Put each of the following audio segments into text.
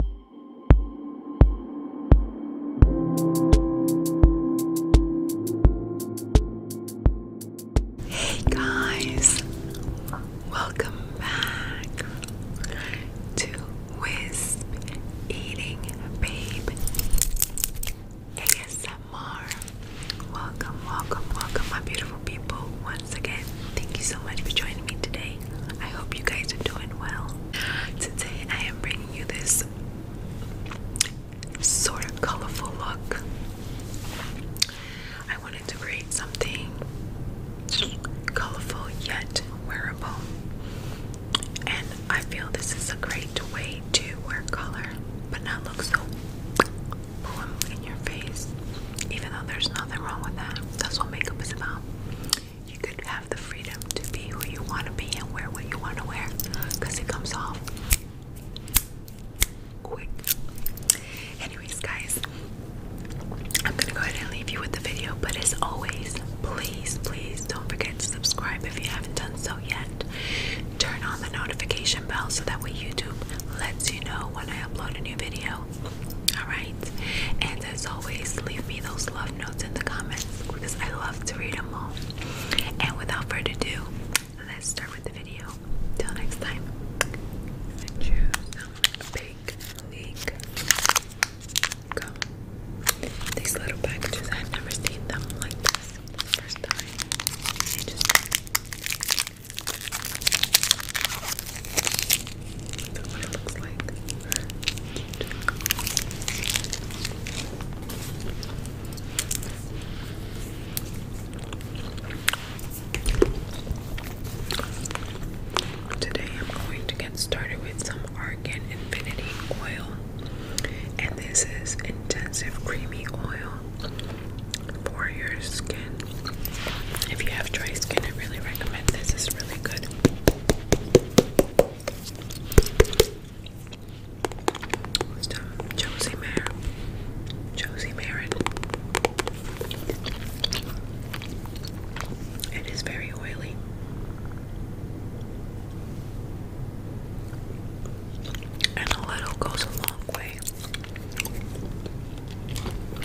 Hey guys, welcome back to Wisp Eating Babe ASMR. Welcome, welcome, welcome, my beautiful people. Once again, thank you so much for joining me today. I hope you guys are doing well. Today I am bringing you this sort of colorful look. I wanted to create something colorful yet wearable. And I feel this is a great way to wear color but not look so boom in your face. Even though there's nothing wrong with that. That's what makeup is about you could have the freedom to be who you want to be and wear what you want to wear because it comes off quick. Anyways, guys, I'm gonna go ahead and leave you with the video, but as always, please, please don't forget to subscribe if you haven't done so yet. Turn on the notification bell so that way YouTube lets you know when I upload a new video. Alright? And as always, leave me those love notes in the comments because I love to read them all. And without further ado, let's start with the video. Till next time. These little packages, I've never seen them like this first time. Today I'm going to get started with some Argan Infinity Oil. And this is intensive creamy oil for your skin. If you have dry skin, I really recommend this. It's really good. Who's done? Josie Mayer. Josie Marin. It is very oily. And a little goes a long way.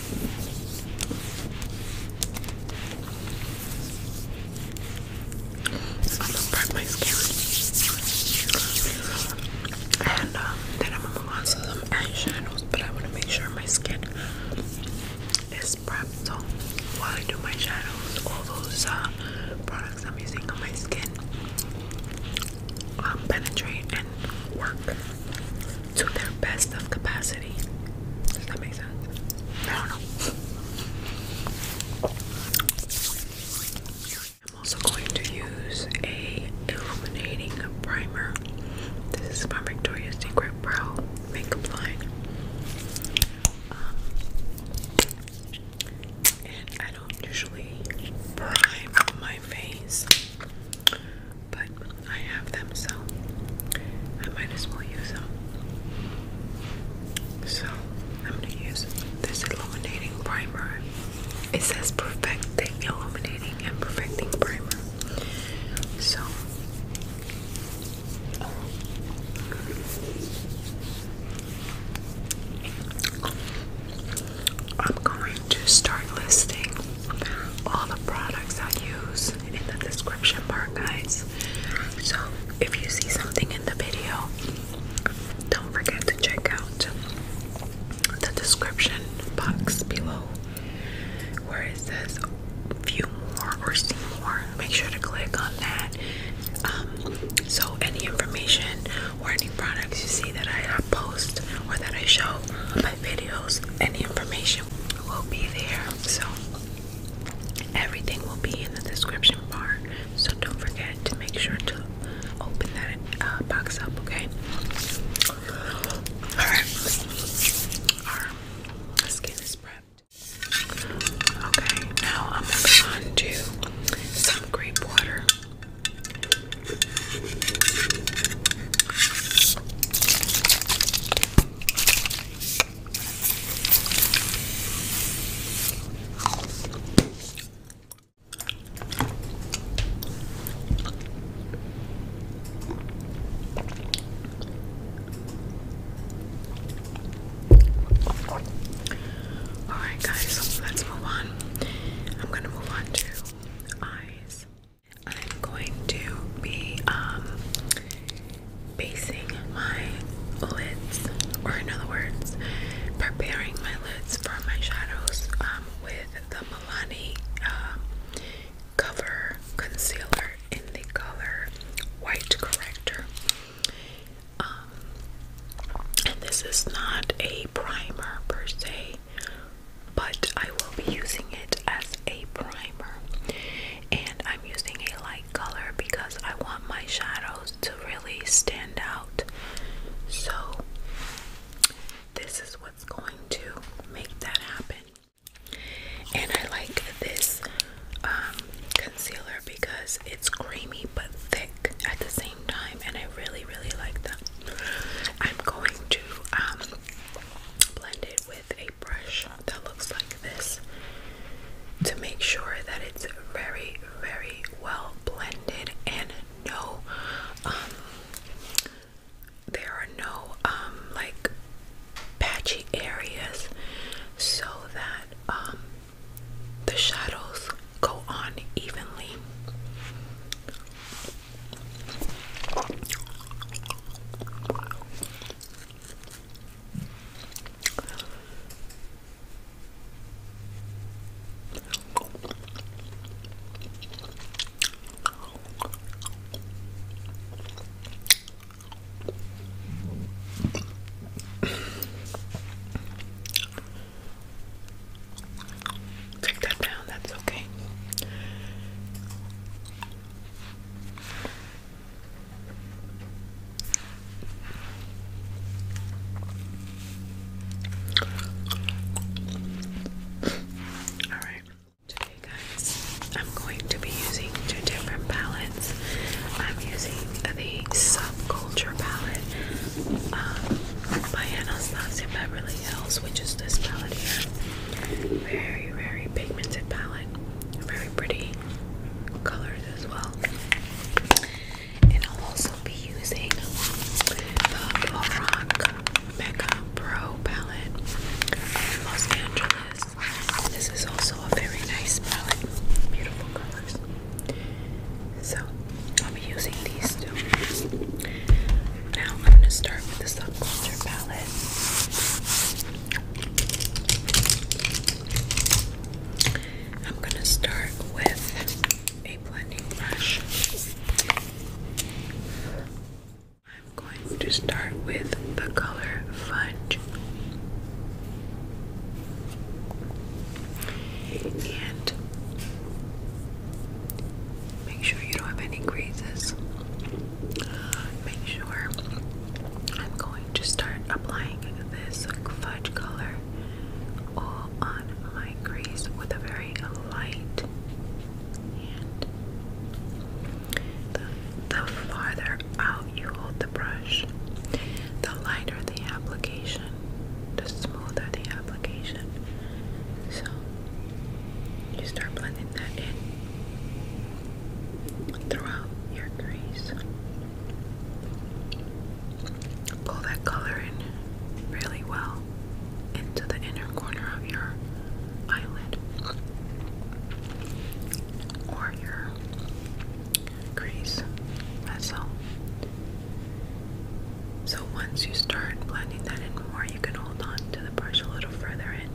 I'm gonna prep my skin, and um, then I'm gonna move on to some eyeshadows. But I wanna make sure my skin is prepped. So while I do my shadows, all those uh, products I'm using on my skin um, penetrate and work to their best of capacity. Does that make sense? I don't know. I'm also going to use a illuminating primer. This is my Victoria's Secret Brow Makeup Line. Um, and I don't usually prime my face but I have them, so I might as well use them. So I'm gonna use this illuminating primer. It says perfecting, illuminating and perfecting primer. So I'm going to start listing all the products I use in the description bar, guys. So if you see something in the video, don't forget to check out the description box below where it says view more or see more. Make sure to click on that. Um, so any information or any products you see that I post or that I show on my videos, any information will be there. So Everything will be in the description bar, so don't forget to make sure to open that uh, box up, okay? Alright, right. our skin is prepped. Okay, now I'm moving on to some grape water. Alright, guys, let's move on. I'm gonna move on to eyes. I'm going to be um, basing my lids, or in other words, preparing my lids for my shadows um, with the Milani um, Cover Concealer in the color White Corrector. Um, and this is not a primer per se, but I will be using it as a primer and I'm using a light color because I want my shadows to really stand out. So, this is what's going to make that happen. And I like this um, concealer because it's creamy but thick at the same time, and I really, really like that. I'm going to um, blend it with a a brush that looks like this to make sure that it's very, very well blended and no, um, there are no, um, like patchy areas so that, um, the shadows go on evenly. Take that down, that's okay. All right. Today, guys, I'm going to be using two different palettes. I'm using the Subculture palette um, by Anastasia Beverly Hills, which is this palette here. Very, very pigmented palette. Very pretty colors as well. And I'll also be using the Lorac Mega Pro palette from Los Angeles. This is also a very nice palette. Beautiful colors. So I'll be using these two. Now I'm going to start with the subculture palette. I'm going to start with a blending brush. I'm going to start with the color Fudge. And Make sure you don't have any creases. Make sure I'm going to start applying this fudge color all on my crease with a very light the farther out you hold the brush, the lighter the application, the smoother the application. So you start blending that in throughout your crease. Pull that color in really well into the inner corner of your eyelid or your crease. That's So once you start blending that in more, you can hold on to the brush a little further in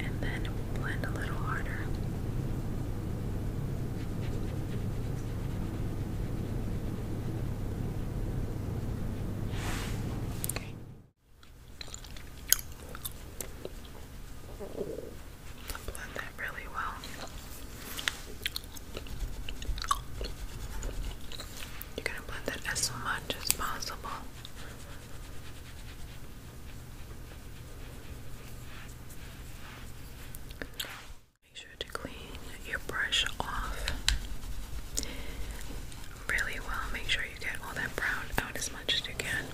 and then blend a little harder. Okay. Blend that really well. You're going to blend that as much as possible. Make sure to clean your brush off really well. Make sure you get all that brown out as much as you can.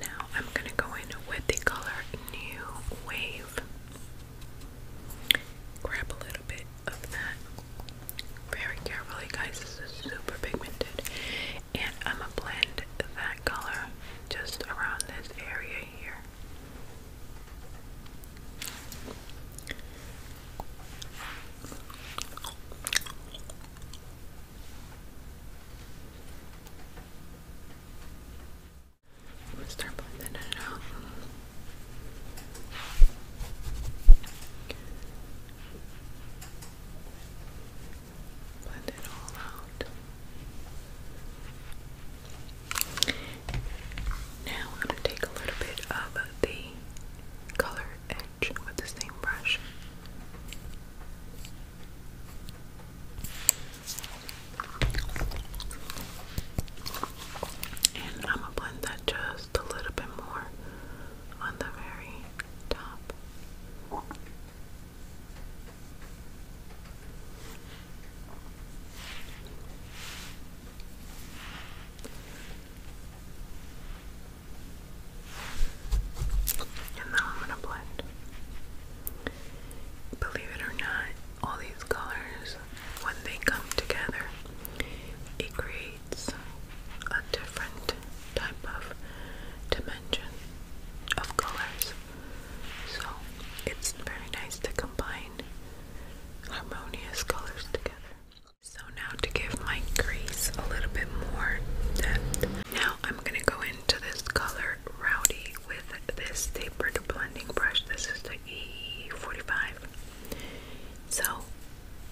Now I'm going to go in with the color New Wave. Grab a little bit very carefully, guys. This is super pigmented, and I'm gonna blend that color just around this area here. I'm gonna start blending it out. Blend it all out. Now I'm going to take a little bit of the color edge with the same brush. And I'm going to blend that just a little bit more on the very top. And now I'm going to blend. Believe it or not, all these colors, when they come together, it a different type of dimension of colors. So it's very nice to combine harmonious colors together. So now to give my crease a little bit more depth, now I'm going to go into this color Rowdy with this tapered blending brush. This is the E45. So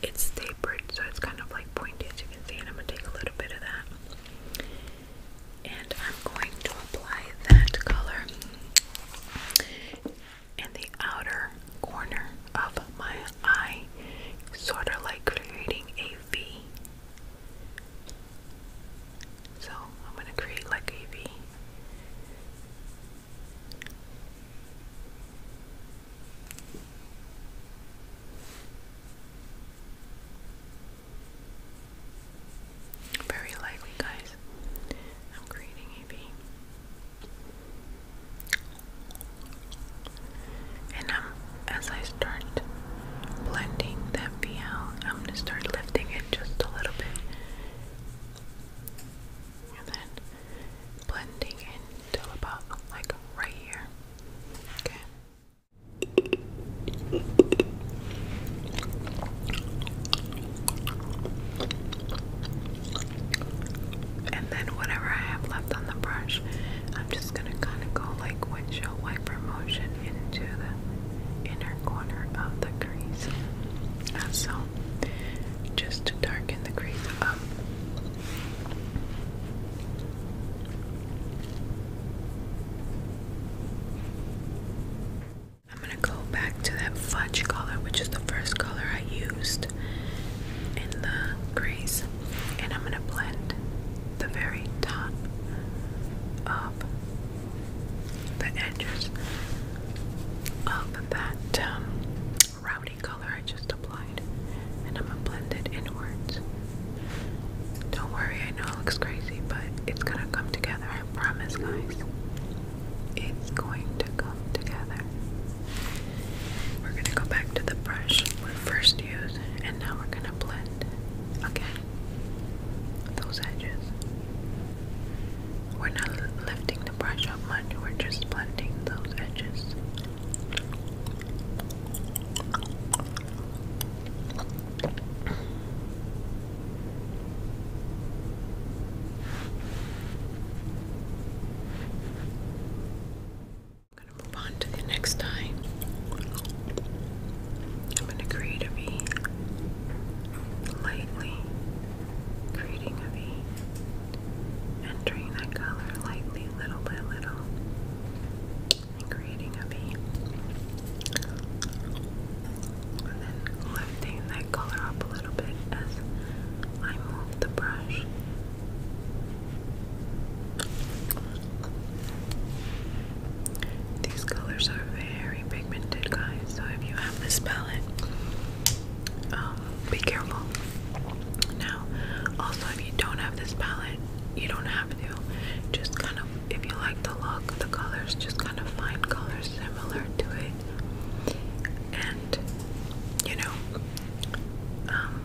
it's tapered, so it's kind of like pointy as you can see, and I'm going to take a little bit of that. And I'm going to apply that color in the outer corner of my eye, sort of like creating a V. So I'm going to create like a V. Very likely, guys. I'm creating a V, And I'm, as I start blending that V out, I'm going to start lifting it just a little bit. And then blending in till about like right here. Okay. And then whatever I have left on the brush, I'm just gonna kind of go like windshield wiper motion into the inner corner of the crease. Uh, so, just to darken the crease up. I'm gonna go back to that fudge color, which is the first color I used in the crease, and I'm gonna blend the very top of the edges of that um, rowdy color I just applied, and I'm gonna blend it inwards. Don't worry, I know it looks crazy, but it's gonna come together, I promise, guys. It's going to come together. We're gonna go back to the brush we first used, and now we're gonna blend Okay, those edges. We're not lifting the brush up much, we're just blending those edges. I'm going to move on to the next eye. I'm going to create a V. Lightly creating a V. And entering that color lightly, little by little, and creating a a V. And then lifting that color up a little bit as I move the brush. These colors are very pigmented, guys. So if you have this palette, um, be careful. Now, also, if you don't have this palette, you don't have to. Just kind of, if you like the look, the colors, just kind of find colors similar to it, and you know, um,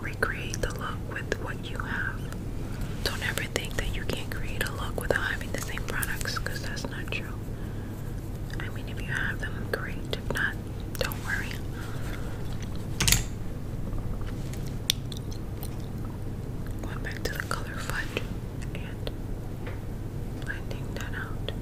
recreate the look with what you have. Don't ever think that you can't create a look without having the same products, because that's not true. I mean, if you have them, great. If not, don't worry. Going back to the color fudge and blending that out.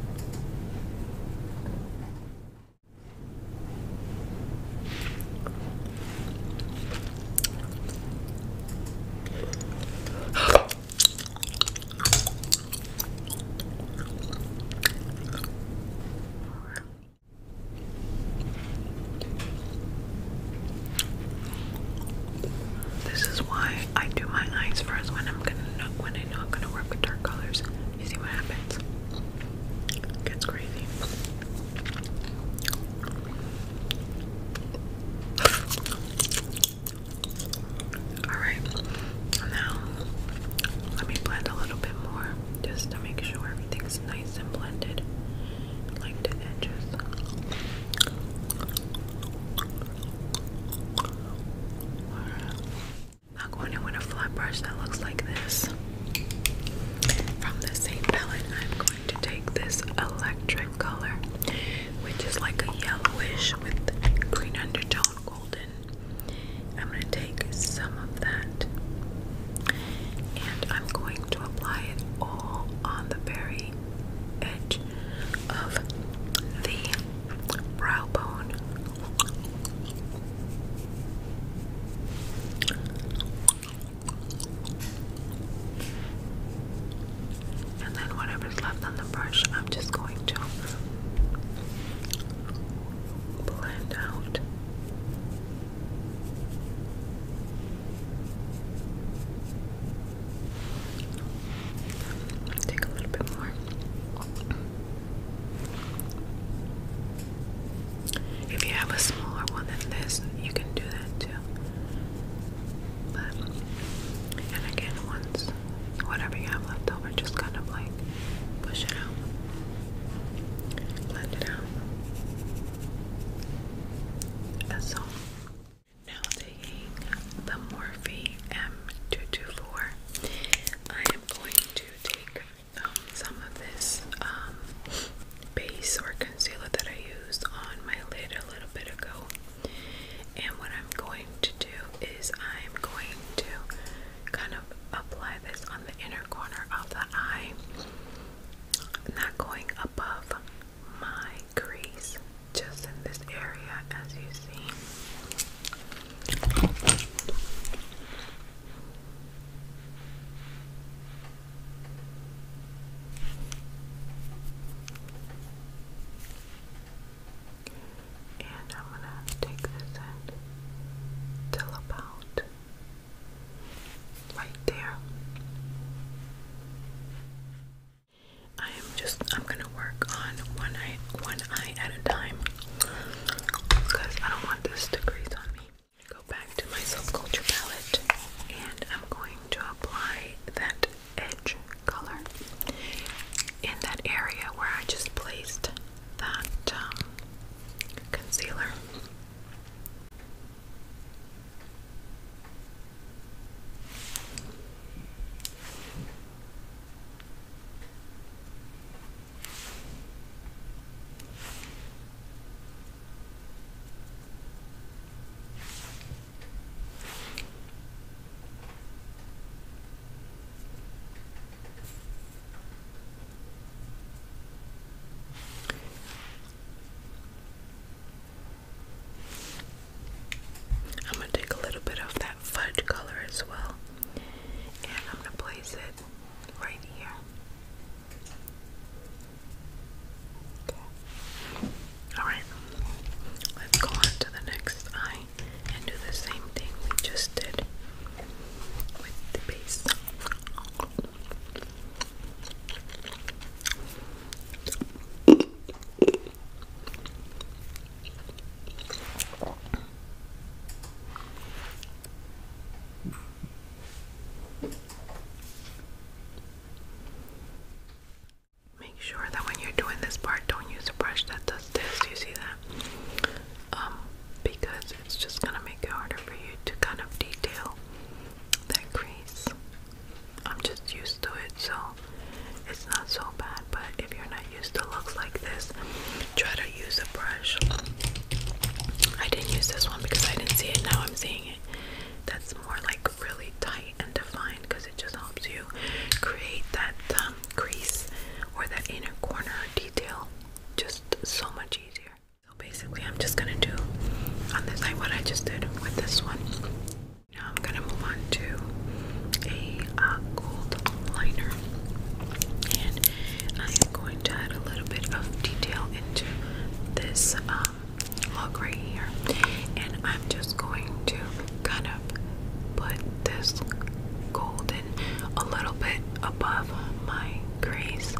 This is why I do my eyes first when I'm gonna when I'm gonna work with dark colors. You see what happens? It gets crazy. Alright, now let me blend a little bit more just to make sure everything's nice and blended, like the edges. Now going in with a flat brush that looks like this. From the same palette, I'm going to take this electric color, which is like a yellowish with green undertone, golden I'm going to take some of that and I'm going to apply it all on the very edge of the brow bone. And then whatever's left on the brush, I'm just going to blend out. Take a little bit more. If you have a smaller one than this, you can do that too. But, and again, once whatever you have left over, just kind of like Push it out. Blend it out. That's all. Now taking the Morphe M224, I am going to take um, some of this um, base or concealer that I used on my lid a little bit ago. And what I'm going to do is I'm going to kind of apply this on the inner corner of the eye, not going above my crease, just in this area as you see and I'm gonna take this and till about right there. I am just I'm gonna work on one eye one eye at a time because I don't want this to crease on me. Go back to my Soul palette and I'm going to apply that edge color in that area where I just placed that um, concealer. I'm going to take a little bit of that fudge color as well, and I'm going to place it right here. All right, let's go on to the next eye and do the same thing we just did with the base. Make sure that when you're doing this part, don't use a brush that's this, you see that? Um, because it's just gonna make it harder for you to kind of detail that crease. I'm just used to it, so it's not so bad. But if you're not used to looks like this, try to use a brush. I didn't use this one because I didn't see it. Now I'm seeing it. That's more like really tight and defined because it just helps you create that um, crease or that inner corner detail just so much easier. So basically I'm just gonna do on this side what I just did with this one. Now I'm gonna move on to a uh, gold liner and I am going to add a little bit of detail into this um, look right here and I'm just going to kind of put this golden a little bit above my crease.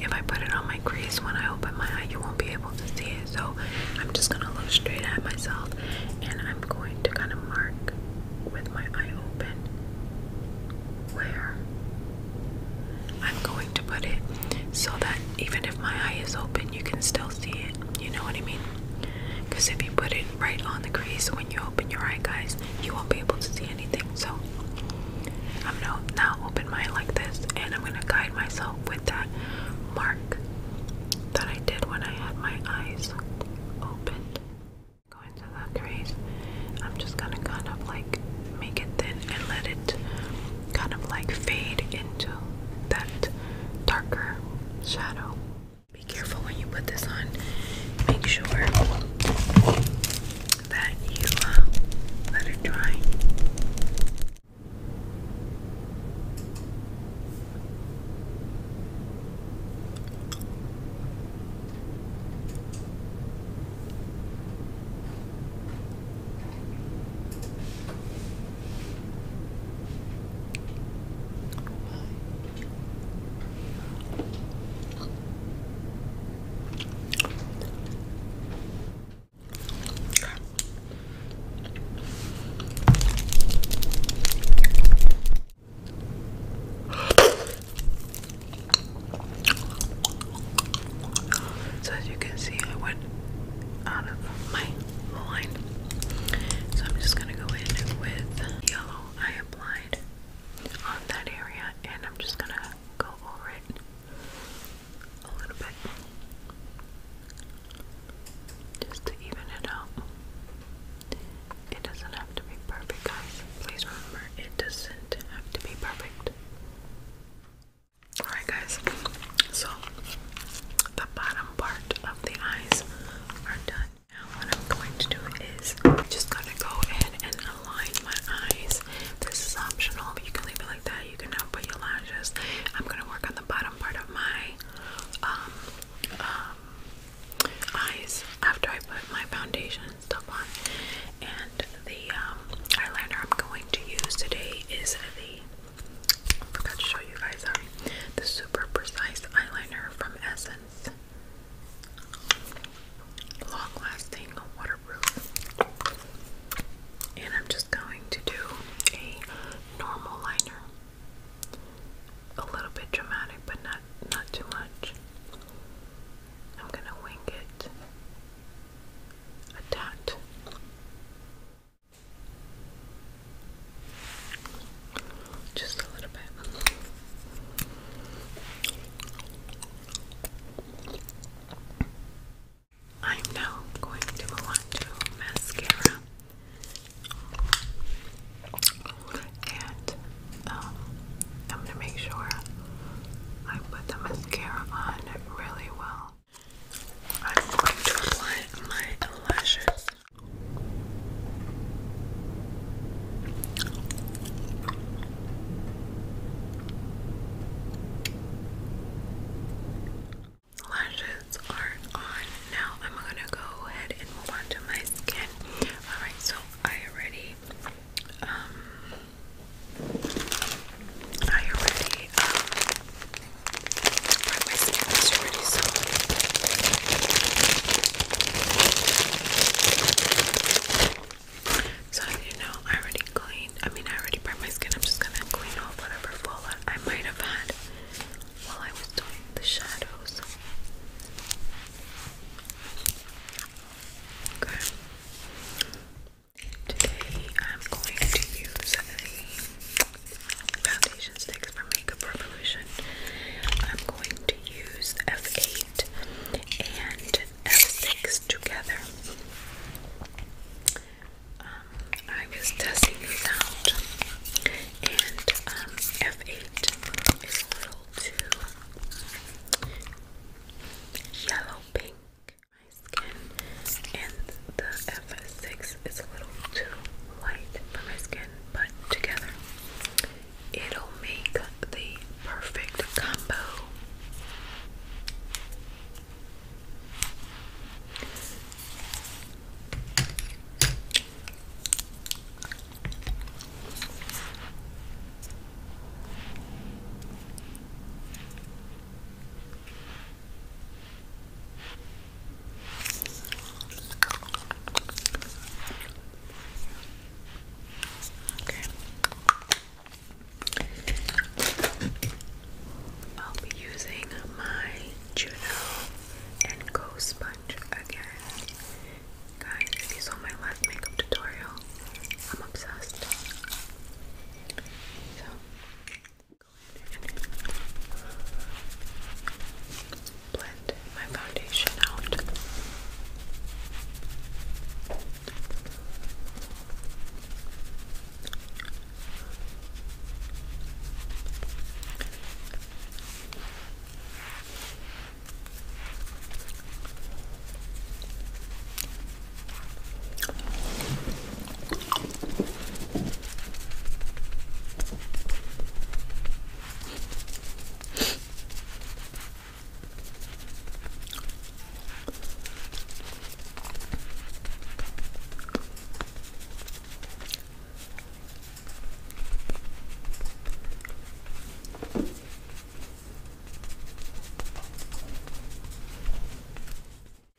If I put it on my crease when I open my eye, you won't be able to see it. So I'm just gonna look straight at myself and I'm going to kind of mark with my eye open where I'm going to put it so that even if my eye is open, you can still see it. You know what I mean? Because if you put it right on the crease when you open your eye, guys, you won't be able to see anything. So I'm gonna now open mine like this, and I'm gonna guide myself with that mark that I did when I had my eyes open. Go into the crease. I'm just gonna kind of like make it thin and let it kind of like fade into that darker shadow. Be careful when you put this on. Make sure that you uh, let it dry. So as you can see, I went out of my line. So I'm just gonna go in with yellow I applied on that area, and I'm just gonna go over it a little bit just to even it out. It doesn't have to be perfect, guys. Please remember, it doesn't have to be perfect. Alright, guys, so the bottom part of the eyes are done. Now what I'm going to do is I'm just gonna go ahead and align my eyes. This is optional, but you can leave it like that. You can now put your lashes. I'm gonna work on the bottom part of my um, um, eyes after I put my foundation and stuff on. And the um, eyeliner I'm going to use today is the forgot to show you guys. Sorry the super precise eyeliner from Essence. Long lasting, waterproof. And I'm just going to do a normal liner. A little bit dramatic, but not not too much. I'm gonna wing it a dot. Just a little bit. I'm now going to go on to mascara. And um, I'm going to make sure I put the mascara on really well. I'm going to apply my lashes. Lashes are on now. I'm gonna go ahead and move on to my skin. All right, so I already, um, I already um, my skin is really solid. So you know, I already cleaned. I mean, I already burnt my skin. I'm just gonna clean off whatever fallout I might have had while I was doing the shadows. Okay. Today I'm going to use the foundation sticks from Makeup Revolution. I'm going to use F8 and F6 together. Um, I was testing these out, and um, F8 is a little too yellow pink my skin, and the F6 is a little too light for my skin but together. It'll make the perfect combo. I'll be using my Juno and Go sponge again. Guys, if you saw my last makeup tutorial, I'm obsessed. So, go ahead blend my foundation out.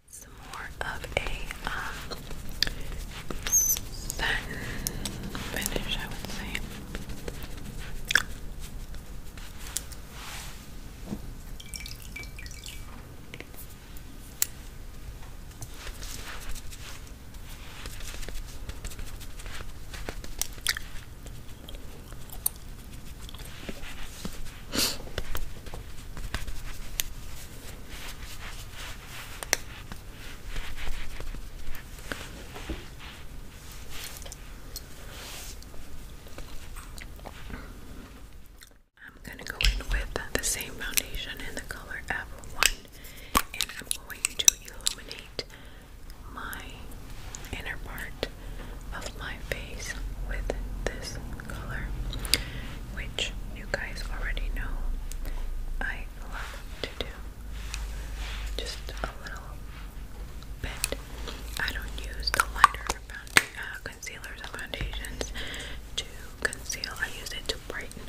Some more of a um, satin finish, I would say. I'm going to go in with the same foundation in the color F1 and I'm going to illuminate my inner part of my face with this color, which you guys already know I to do just a little bit. I don't use the lighter uh, concealers and foundations to conceal. I use it to brighten,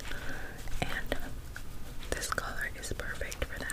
and this color is perfect for that.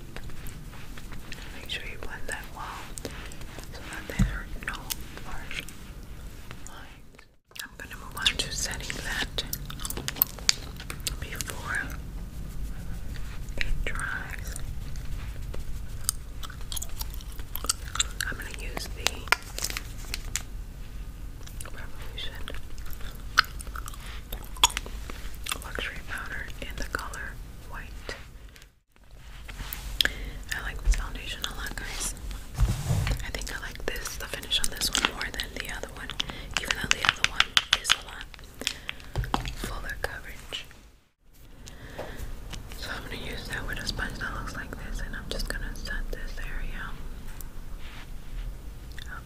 Make sure you blend that well so that there are no harsh lines. I'm going to move on to setting that before it dries. I'm going to use the Revolution Luxury Powder in the color white. I like this foundation a lot, guys. I think I like this, the finish on this one more than the other one, even though the other one is a lot fuller coverage. So I'm gonna use that with a sponge that looks like this, and I'm just gonna set this area up.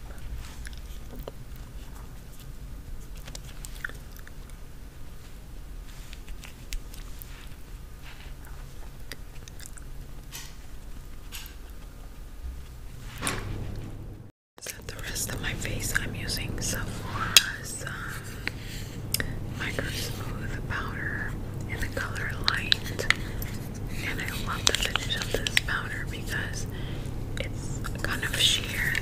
Set the rest of my face. I'm using Sephora's um, micro smooth powder in the color light, and I love the finish of this powder because it's kind of sheer,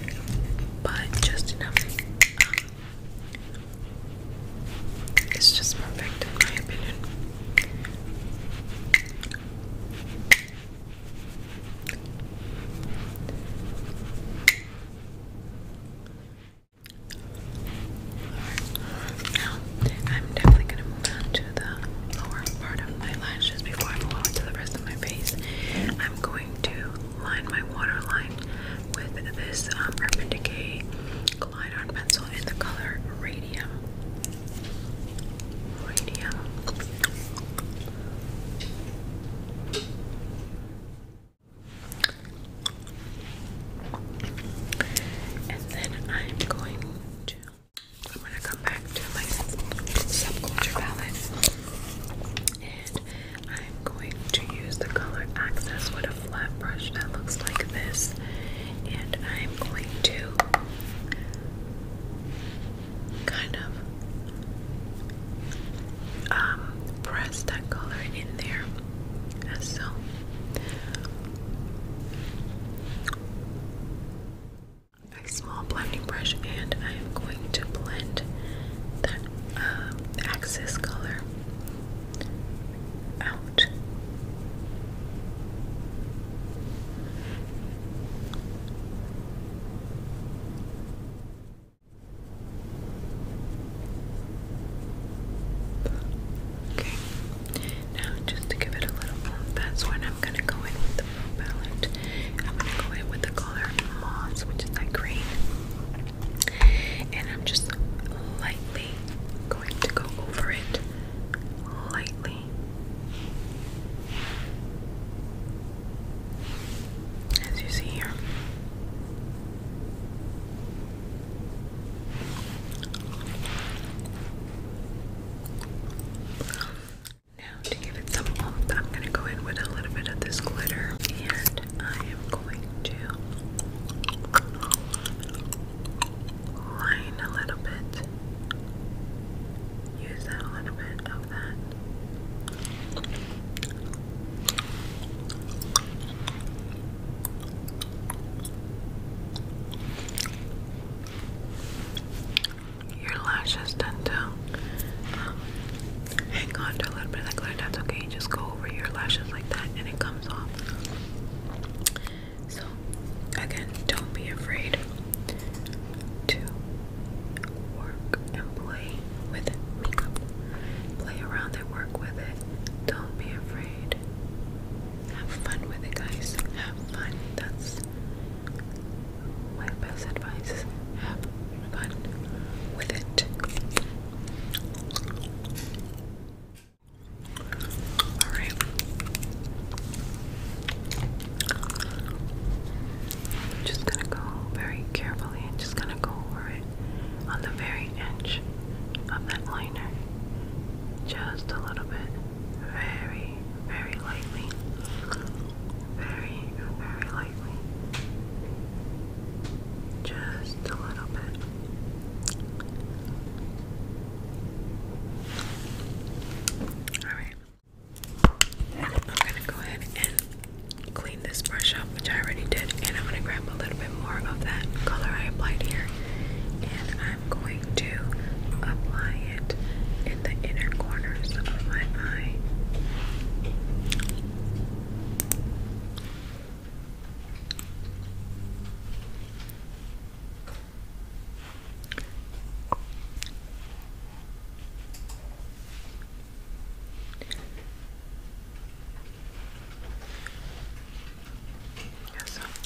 but just enough. Um, it's just perfect, in my opinion. now I'm definitely going to move on to the lower part of my lashes before I move on to the rest of my face. I'm going to line my waterline with this um, Urban Decay Glide On pencil in the color Radium. Radium. And then I'm going to. I'm gonna come back to my subculture palette I'm going to use the color access with a flat brush that looks like this, and I'm going to kind of um, press that color in there as so. A small blending brush, and I am going to blend that um, access color out. Okay, now just to give it a little that's when I'm going to go in with the palette. I'm going to go in with the color Moss, which is that green. And I'm just lightly going to go over it lightly. As you see here. Now to give it some oomph, I'm going to go in with a little bit of this glitter and I am going to line a little bit. Use a little bit of that. Your lashes done too. Um, hang on to a little bit of that glitter. That's okay. Just go over your lashes like that, and it comes off. So, again, don't be afraid to work and play with makeup. Play around and work with it. Don't be afraid. Have fun with it, guys. Have fun. That's my best advice. Have fun with it. Alright. just gonna go very carefully and just gonna go over it on the very edge of that liner. Just a little bit. Very, very lightly very, very lightly. Just a little bit. Alright. I'm gonna go ahead and clean this brush up, which I already did, and I'm gonna grab a little bit more of that color I applied here, and I'm going to apply it in the inner corners of my eye.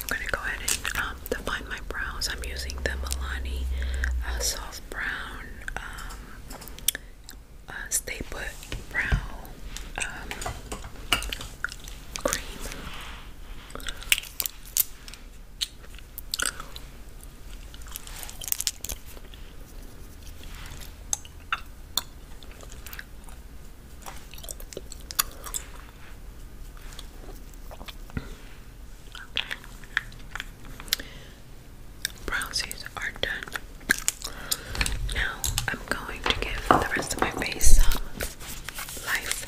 I'm gonna go ahead and um, define my brows. I'm using the Milani uh, soft brown um, uh, Stay Put um, Cream. Browsies are done. Now I'm going to give the rest of my face some life.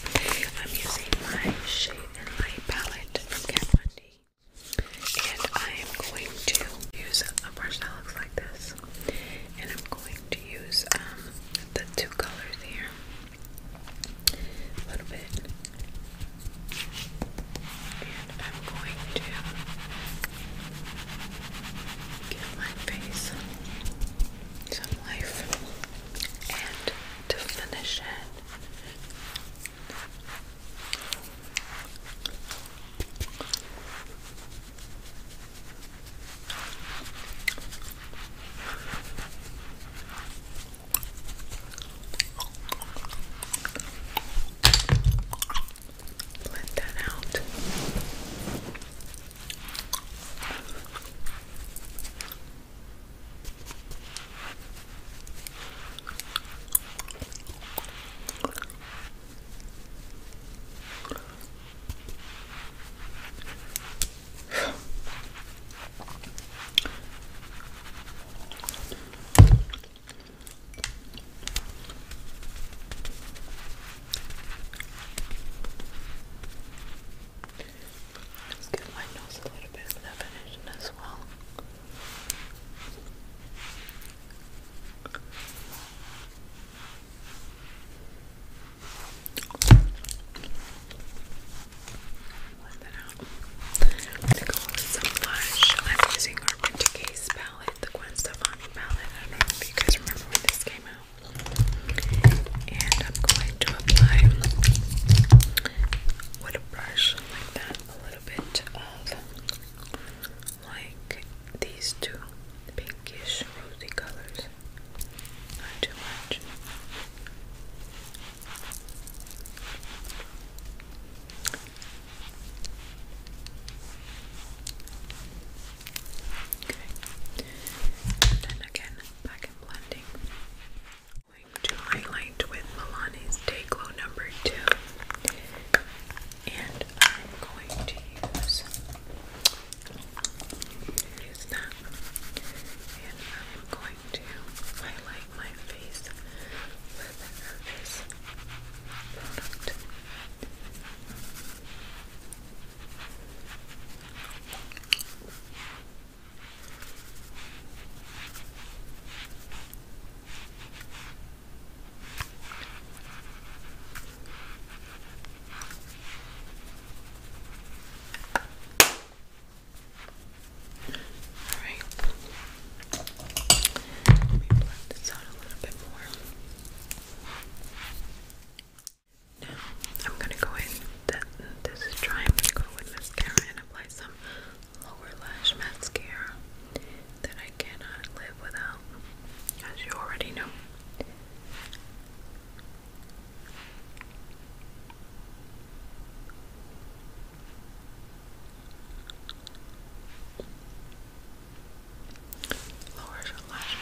I'm using my shade light palette from Kat Von D. And I am going to use a brush like this. And I'm going to use um, the two colors here. A little bit and I'm going to give my face some life. And to let that out. Let's give my nose a little bit of definition as well. Let that out. I'm gonna oh, go with some blush. I'm using our Winter Case palette, the Gwen Stefani palette. I don't know if you guys remember when this came out. And I'm going to apply with a brush like that a little bit of like these two pinkish rosy colors. Not too much. Okay. And then again, back and blending. I'm going to highlight with Milani's Day Glow number two. And I'm going to use that. And I'm going to highlight my face with this product. All right. Let Now, I'm going to go in, this is dry, to go with mascara and apply some lower lash mascara that I cannot live without, as you already know. Lower lash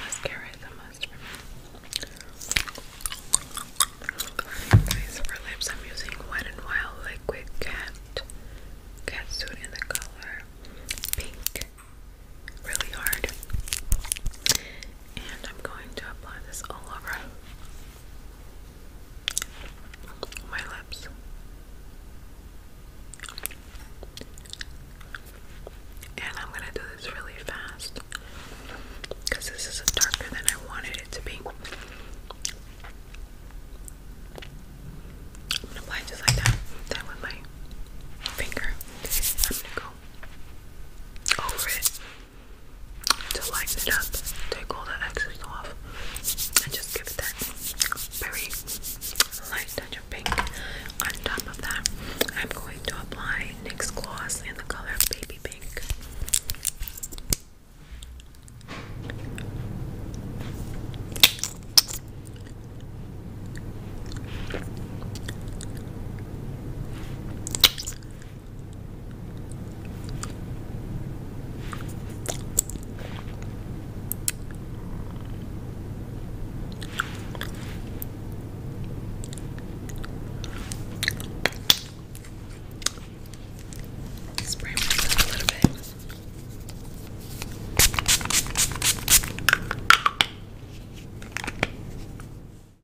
for lips, I'm using Wet n Wild Liquid Cat Cat Suit in the color Pink. Really hard. And I'm going to apply this all over my lips. And I'm gonna do this really fast because this is darker than I wanted it to be. I'm gonna apply just like that, that with my finger. I'm gonna go over it to lighten it up, take all the excess off and just give that very light touch of pink. On top of that, I'm going to apply NYX gloss in the color Baby Pink. Spray a little bit.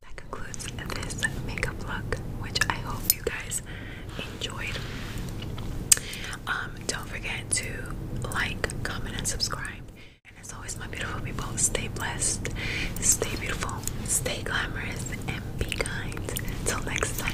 That concludes this makeup look, which I hope you guys enjoyed. Um, don't forget to like, comment, and subscribe. And as always, my beautiful people, stay blessed, stay beautiful, stay glamorous, and be kind. Till next time.